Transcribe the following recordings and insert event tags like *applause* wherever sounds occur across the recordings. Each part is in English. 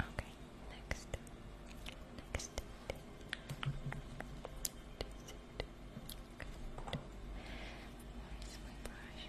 Okay, next. Next. Where is my brush?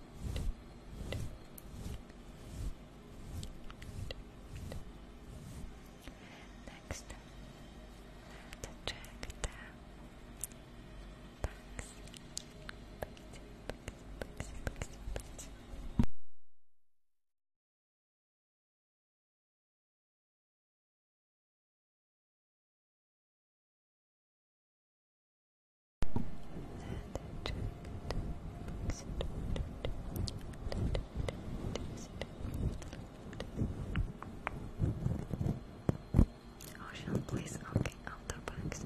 Next, the track down. Bugs. Bugs, bugs, Ocean, oh, please. Okay, outer banks.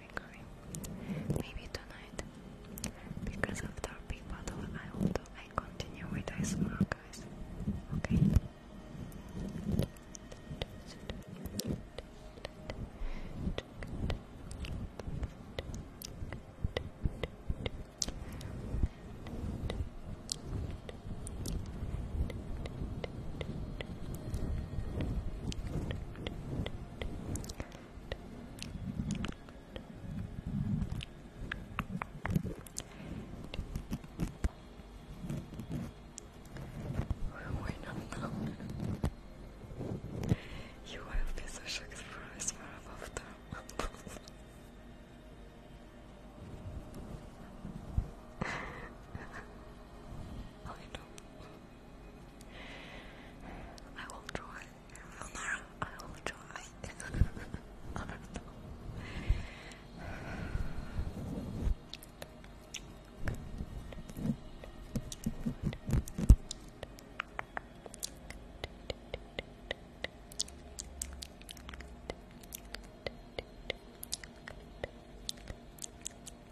Maybe tonight. Because after big battle I will do I continue with ASMR guys. We're not alone. You will be so shocked for us for above them. I know. I will try. I will try. I don't don't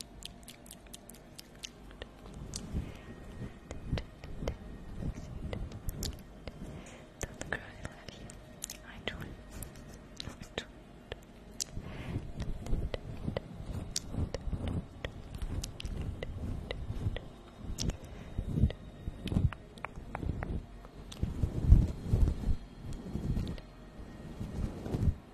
cry, love you. I try. I try. Thank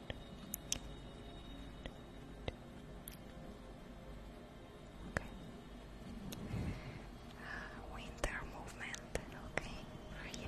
Okay. winter movement, okay, for you.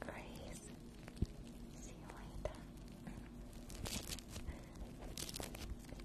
Grace, see you later.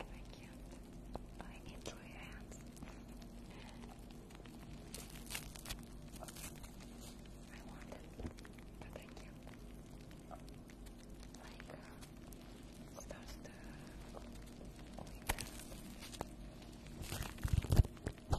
I can't. I need to your hands. I want it, but I Like, uh, starts to I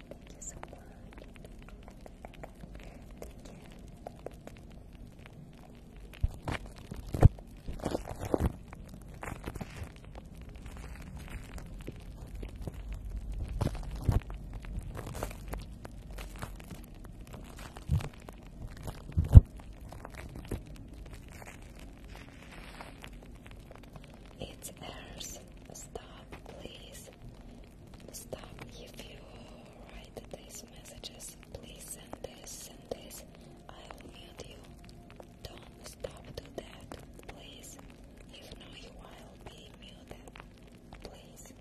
Thank you so much. It's ours. Stop, please. Stop. If you write these messages, please send this, send this. I will mute you. Don't stop do that, please. If no, you will be muted. Please.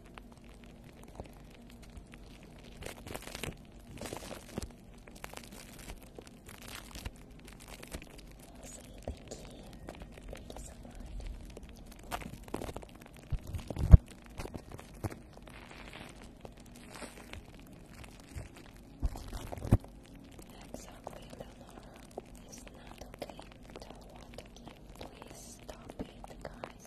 Awesome, thank you. Thank you so much. I'm sorry, glad Leonora not okay. do want to Please stop it, guys.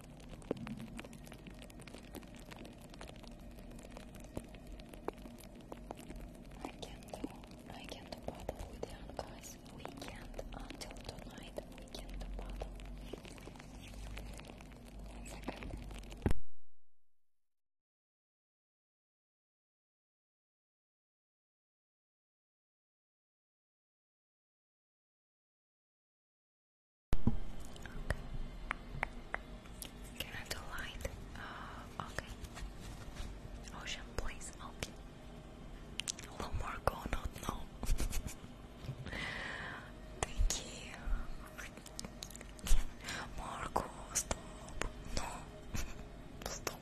I can't I can't paddle with the guys. We can't until tonight. We can't paddle. One second. Okay. light? Uh, okay. Ocean, please. Okay. Hello, Marco. No, no. Thank you. *laughs* Marco, stop. No. *laughs* Stop. Stop.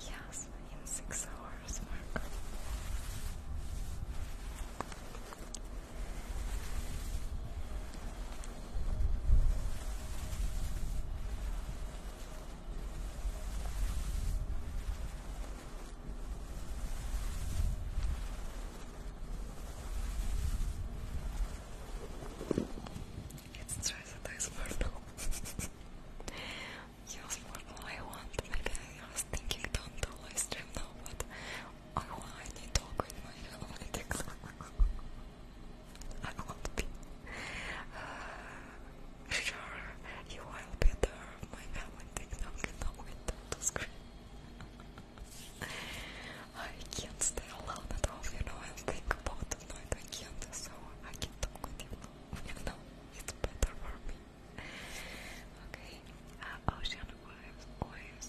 Yes, in six hours, Mark. It's stress that I sparkle. *laughs* you I want. Maybe I was thinking don't do live now, but I want I need to my analytics. *laughs* I want to be uh, sure you will be there. My family did not get to scream. I can't stay alone at home, you know, and think about the night I can't, so I can talk with you, *laughs* you it's better for me. Okay, uh, ocean waves, waves.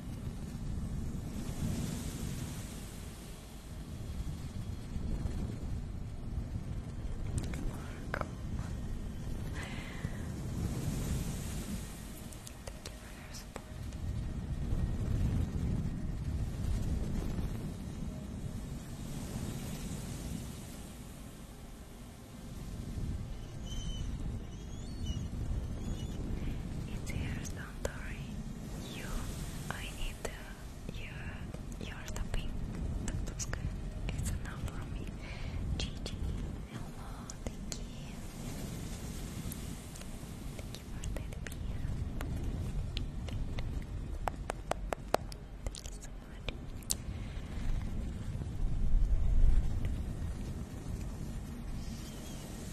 Marco. Thank you for your support. It's yours, don't worry. You, I need uh, your, your stopping. It's enough for me. Gigi, hello, thank you. Thank you for that Thank you so much. Thank you,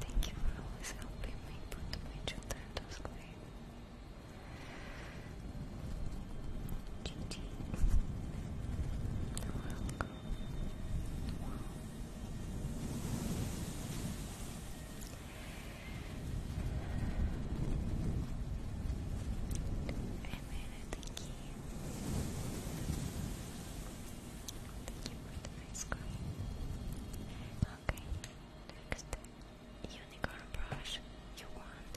Thank you for always helping me put my children to sleep. GG. You're welcome. Wow. thank you. Thank you ice cream. Okay, next unicorn brush you want,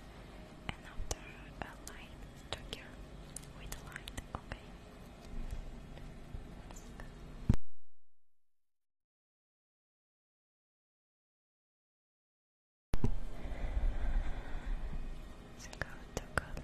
and after a line trigger with a line. Okay. Let's go. to Goblin.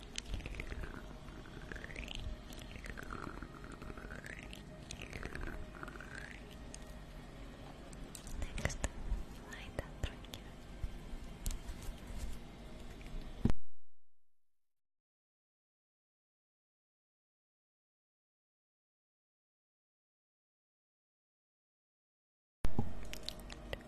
Next, light up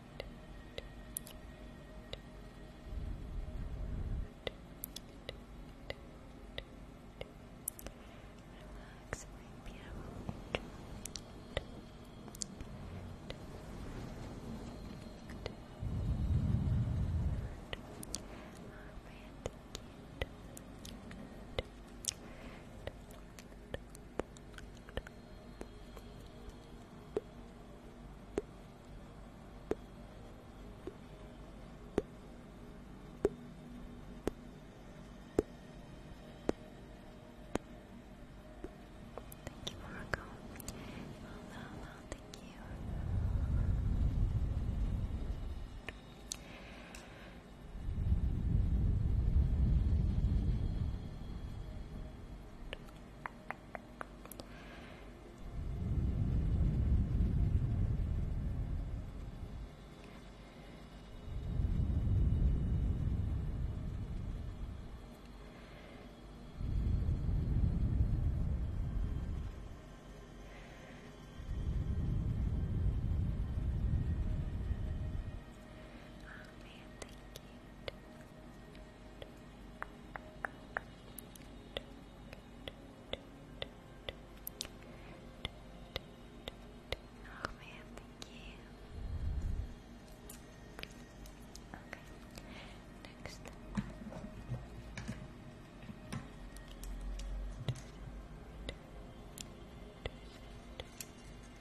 Relax, my beautiful angel. Alright, Thank you, Morocco. Hello, hello, thank you. Oh man, thank you. Oh man, thank you. Okay, next.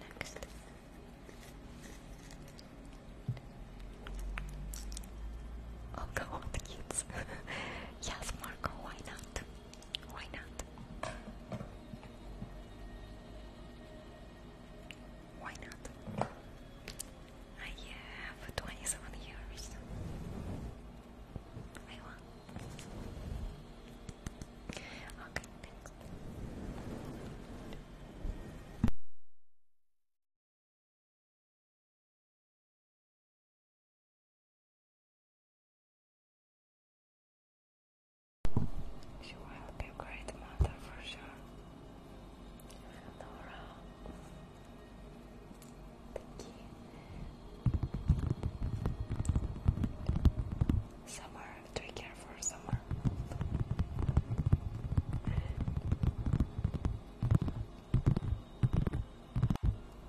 Next. Oh no, the kids. *laughs* yes, Marco, why not? Why not? Why not? I have 27 years. I want she will be a great mother, for sure. Nora, thank Summer, to be careful of someone.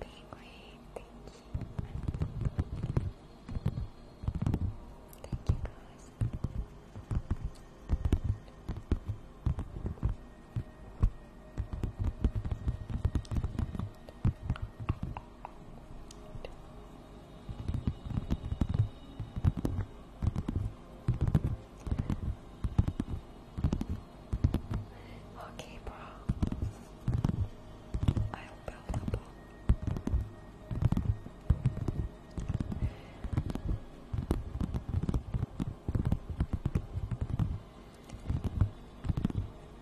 Penguin, thank you. Thank Thank you. Okay, bro. I'll build up.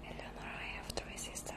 Eleanor, I have three sisters.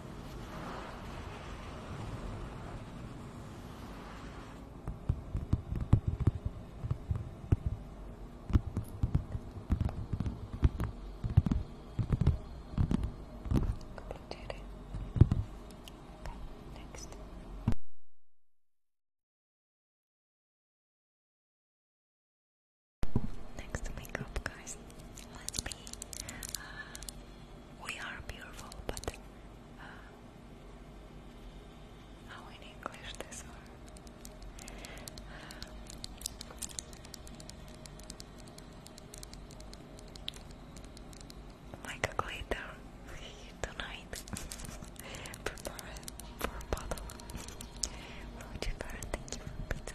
Completed. Okay, next. Next makeup, guys, let's be we are beautiful, but uh, how in English this one? Uh, like a glitter tonight *laughs* for bottle. *laughs* for pizza?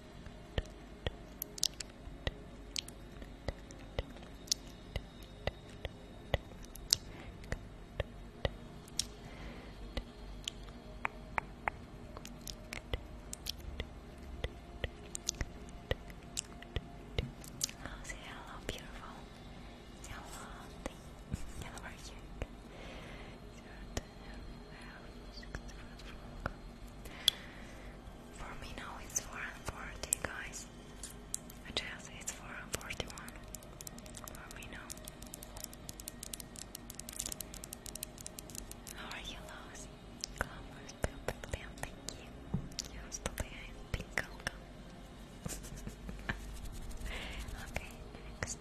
Oh, see hello, beautiful. See how lovely. Hello, we're here. For me now it's 440 guys. I just 441. For me now. are you lost? Glamour's perfect and thank you. Yes, today I'm okay, next.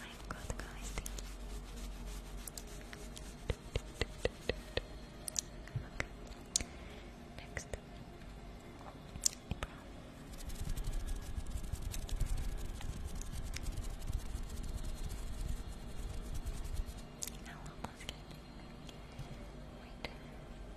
I'm good, guys. Thank you. Okay. Next. April. Wait.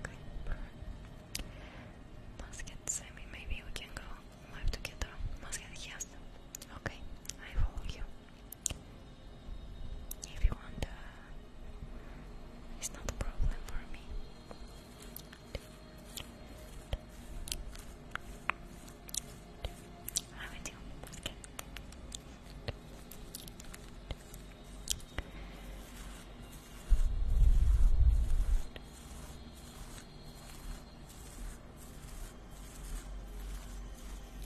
Okay, must get semi, maybe we can go left together. Must get yes. Okay, I follow you. If you want, uh, it's not a problem for me. I do. Okay.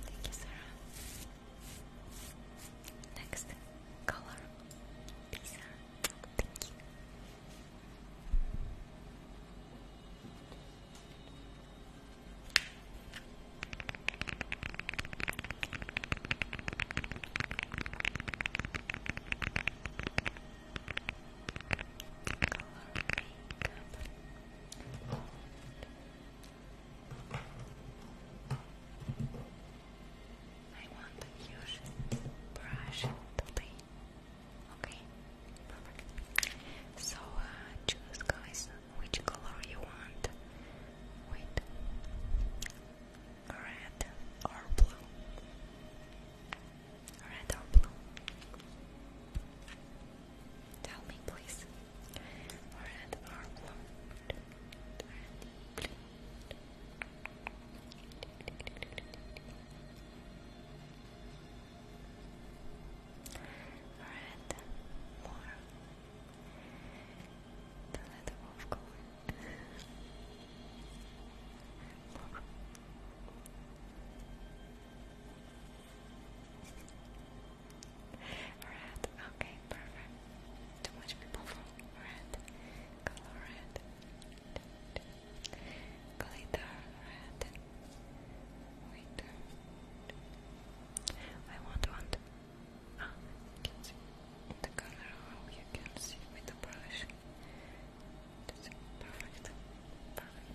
Thank you, Sarah. Next color, Thank you. Color makeup. I want to use brush today. Okay, perfect. So uh, choose, guys, which color you want. Wait, red or blue? Red or blue? Tell me, please. Red or blue? Red, blue. more. The letter of color. Red, okay, perfect. Too much people red. Color red. Glitter red. Wait. I want one. Ah, you can see the color how you can see with the brush. That's perfect. Perfect.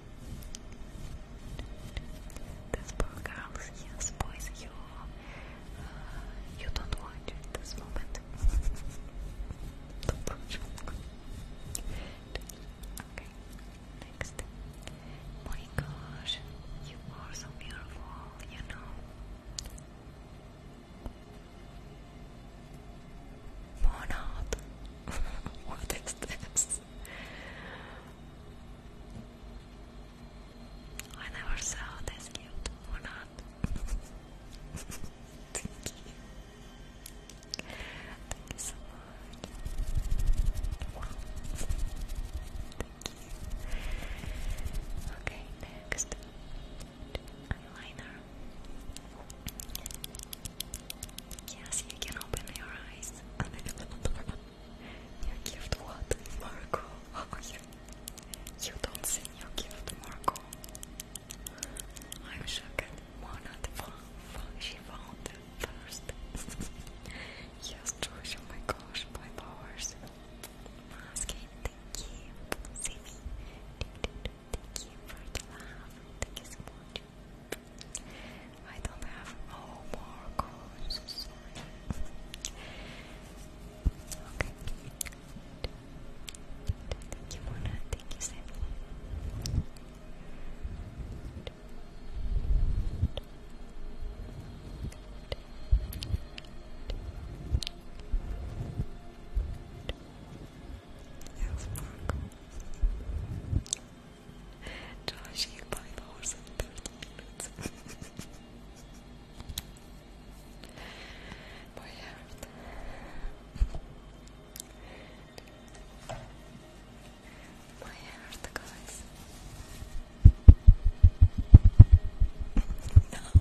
This poor girl, yes, boys, you, uh, you don't want it this moment. okay, next. My you are so beautiful, you know. *laughs* what is this? I never saw this cute Monad. *laughs* Okay, next eyeliner. Yes, you can open your eyes. *laughs* you gift what? Marco. *laughs* Oh, you, you don't see your gift, Marco. I'm shocked. Mona found, she found it first. *laughs* yes, Josh, oh my gosh, my powers. thank you. See me. Thank you for the love. Thank you so much. I don't have no more coins, Okay. Thank you, Mona. Thank you, Sam. Yes, Marco. Josh, you buy the horse in guys. no.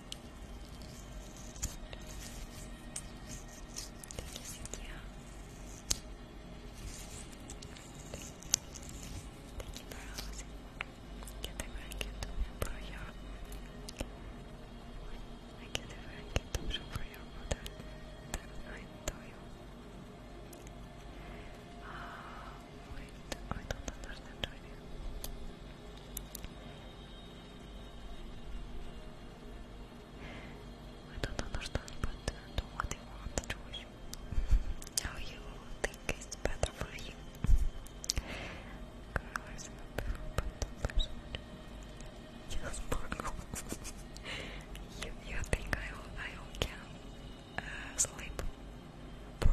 Thank you for hosting. Get the racket for your. I get the racket for your mother. I tell you. Uh, wait, I don't understand right now. I don't understand, what you want to you think is better for you. you, think I, can uh, sleep? Bro,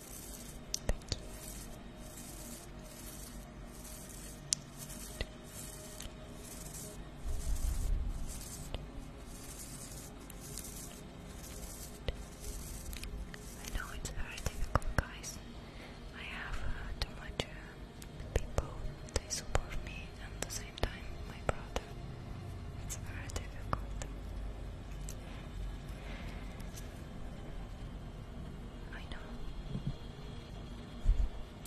Thank you. I know it's very difficult, guys. I have uh, too much uh, people. They support me, and at the same time, my brother. It's very difficult. I know.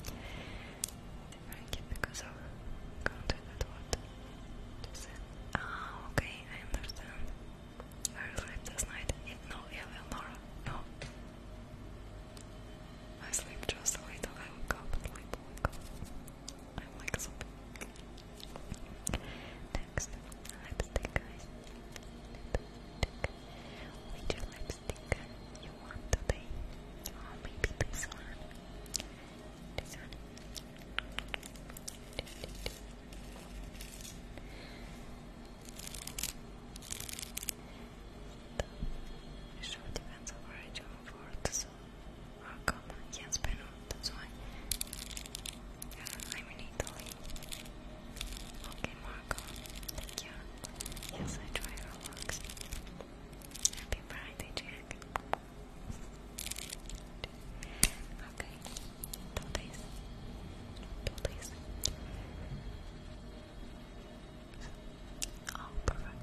They drank it because of contaminated water. Just ah, okay, I understand. I slept last night. It, no, Eleanor, no. I sleep just a little. I wake up, I'm like so Next, lipstick, Which lipstick you want today? Oh, maybe this one? This depends on where I join so. Welcome, oh, yes, Benno, that's why. I'm in Italy. Okay, Marco. Thank you. Yes, I try Roblox. Happy Friday, Jack. Okay. Two days. Two days. Oh, perfect.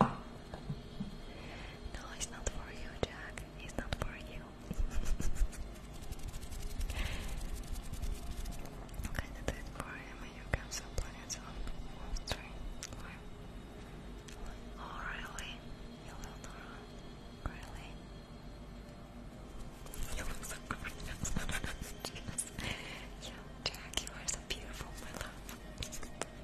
No, it's not for you, Jack. It's not for you. *laughs* okay, for him. Oh, oh, you can supply it on one string. really? You look so gorgeous. *laughs* Yes. Yeah, Jack, you are so beautiful, my love.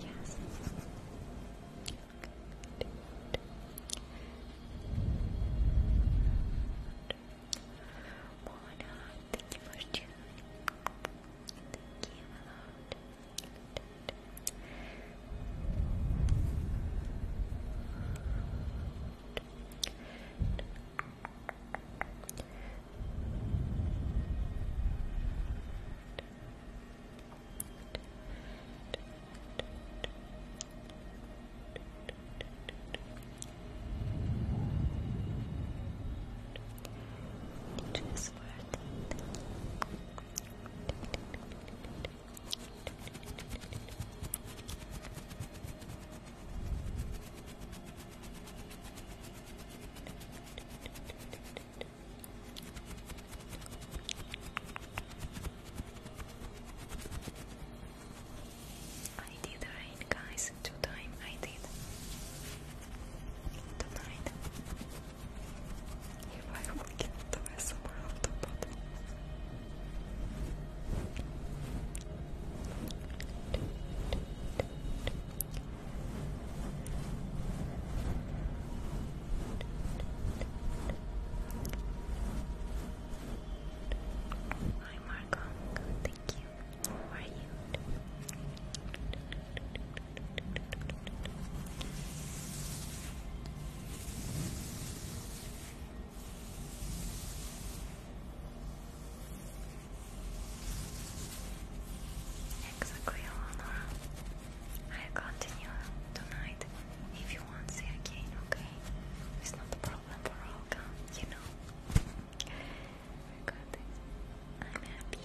Yes. Mona, thank you for tuning. Thank you just worth I did rain, guys. Two time I did tonight. If I will Hi Marco, thank you. How are you? Hexaquilona, I'll continue tonight if you want to see again, okay? It's not a problem for Olga, you know. I'm happy.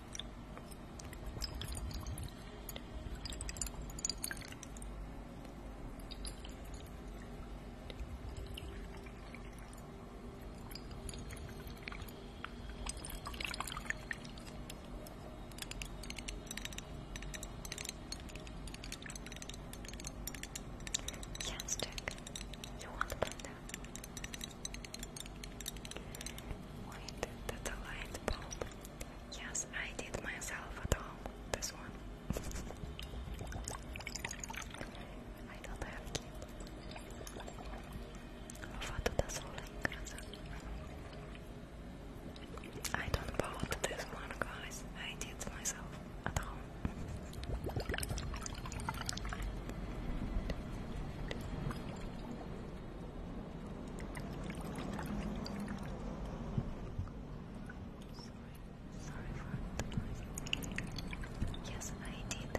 Yes, Jack. You want panda? Wait, that's a light bulb. Yes, I did myself at home, this one. *laughs* I don't have What does I don't bought this one, guys. I did myself at home. Sorry for Yes, I did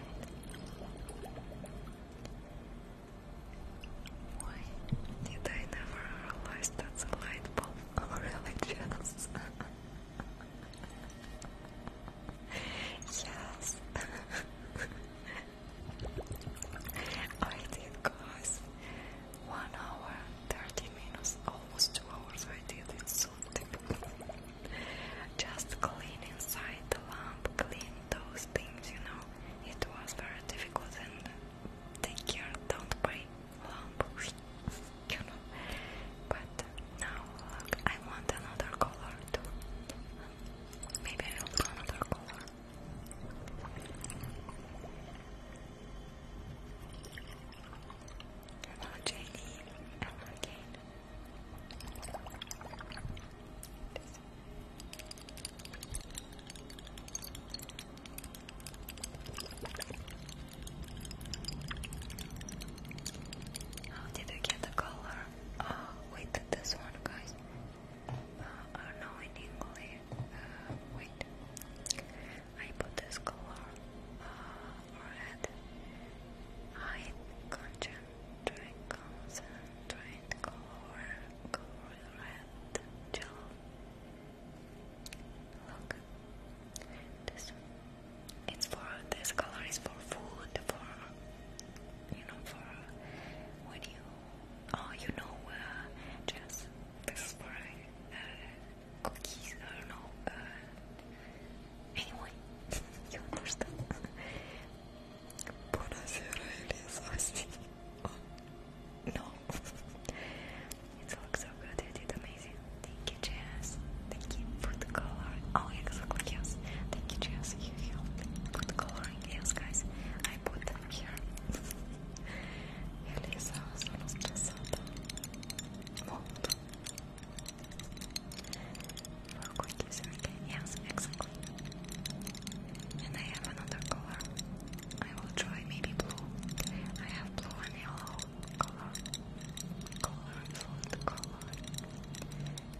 Why did I never realize that's a light bulb or *laughs* religious? *laughs* yes. *laughs* I did, guys. One hour, thirty minutes, almost two hours. I did it so difficult. Just clean inside the lamp, clean those things, you know. It was very difficult, and take care, don't buy lamp, *laughs* you know. But now, I want another color too. Maybe I'll do another color. Hello, JD. Hello, Kate. How did you get the color? Ah, wait, this one, guys. Uh, or in English. Uh, wait. I put this color uh, red. I concentrate, concentrate color, color red gel. Look. This. It's for this color is for food, for you know, for when you, oh, you know, uh, just this for uh, cookies. I don't know. Uh, *laughs* you understand. Buonasera, Elisa. No. it looks so good. You did amazing. Thank you, Jess. Thank you for the color. Oh, exactly, yes. Thank you, Jess. You helped with the color my guys. I put them here. Ele estava só nos passando. Muito. Yes, exactly. And I have another color. I will try maybe blue. I have blue and yellow color. Colorful color.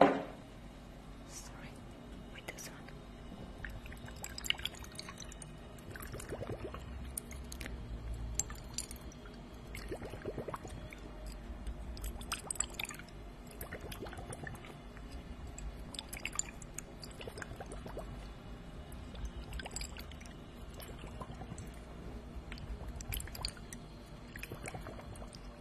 Sorry, with this one.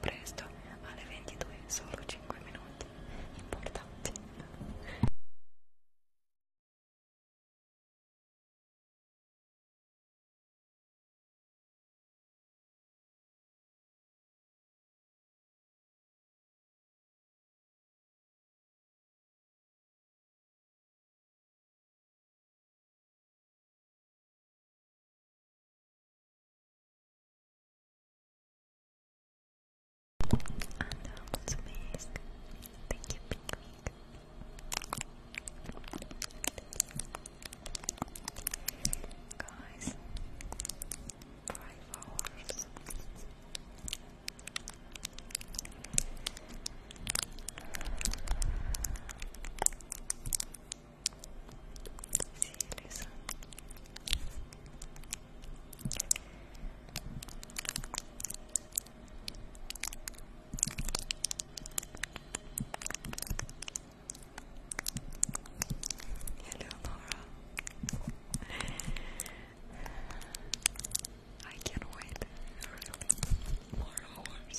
presto alle 22, solo 5 minuti importanti. And um, it's amazing. Thank you, Guys, five hours. See you, Lisa. Hello, Laura. *laughs* I can't wait. Really, more hours.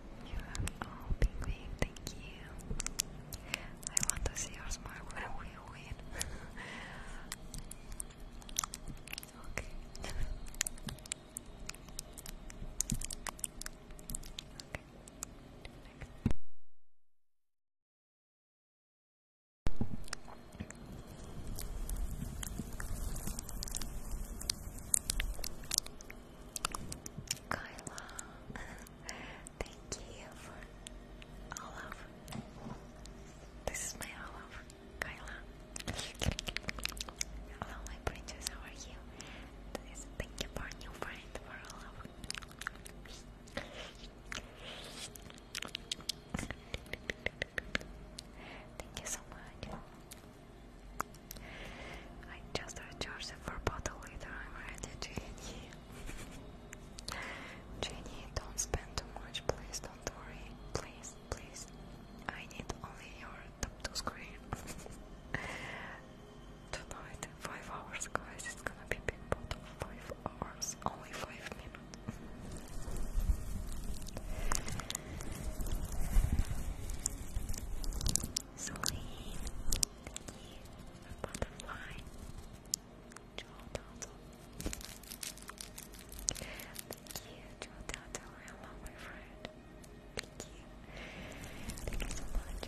oh, big thank you. I want to see your smile when we win. *laughs* okay. Kyla, *laughs* thank you for all of. This is my all of, Kyla. Hello, my princess. How you? thank you for new friend for all of. Thank you so much. I just recharged the four bottle later, I'm ready, Jenny. Jenny, don't spend too much, please, don't worry. Please, please. I need only your top two screen. *laughs* Tonight, five hours, guys, it's gonna be big bottle. Five hours, only five minutes thank you for butterfly. Joel Toto. Thank you, Joel Toto. Hello, my friend. Thank you. Thank you so much.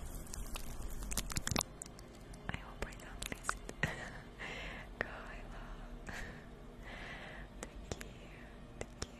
I hope I don't miss it. Go, Thank you. Thank you.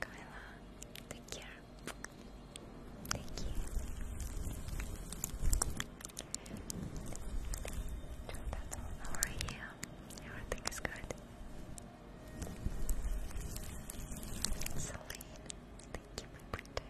Kyla, take care. Thank you. How are you? Everything is good. Celine, thank you, my printer.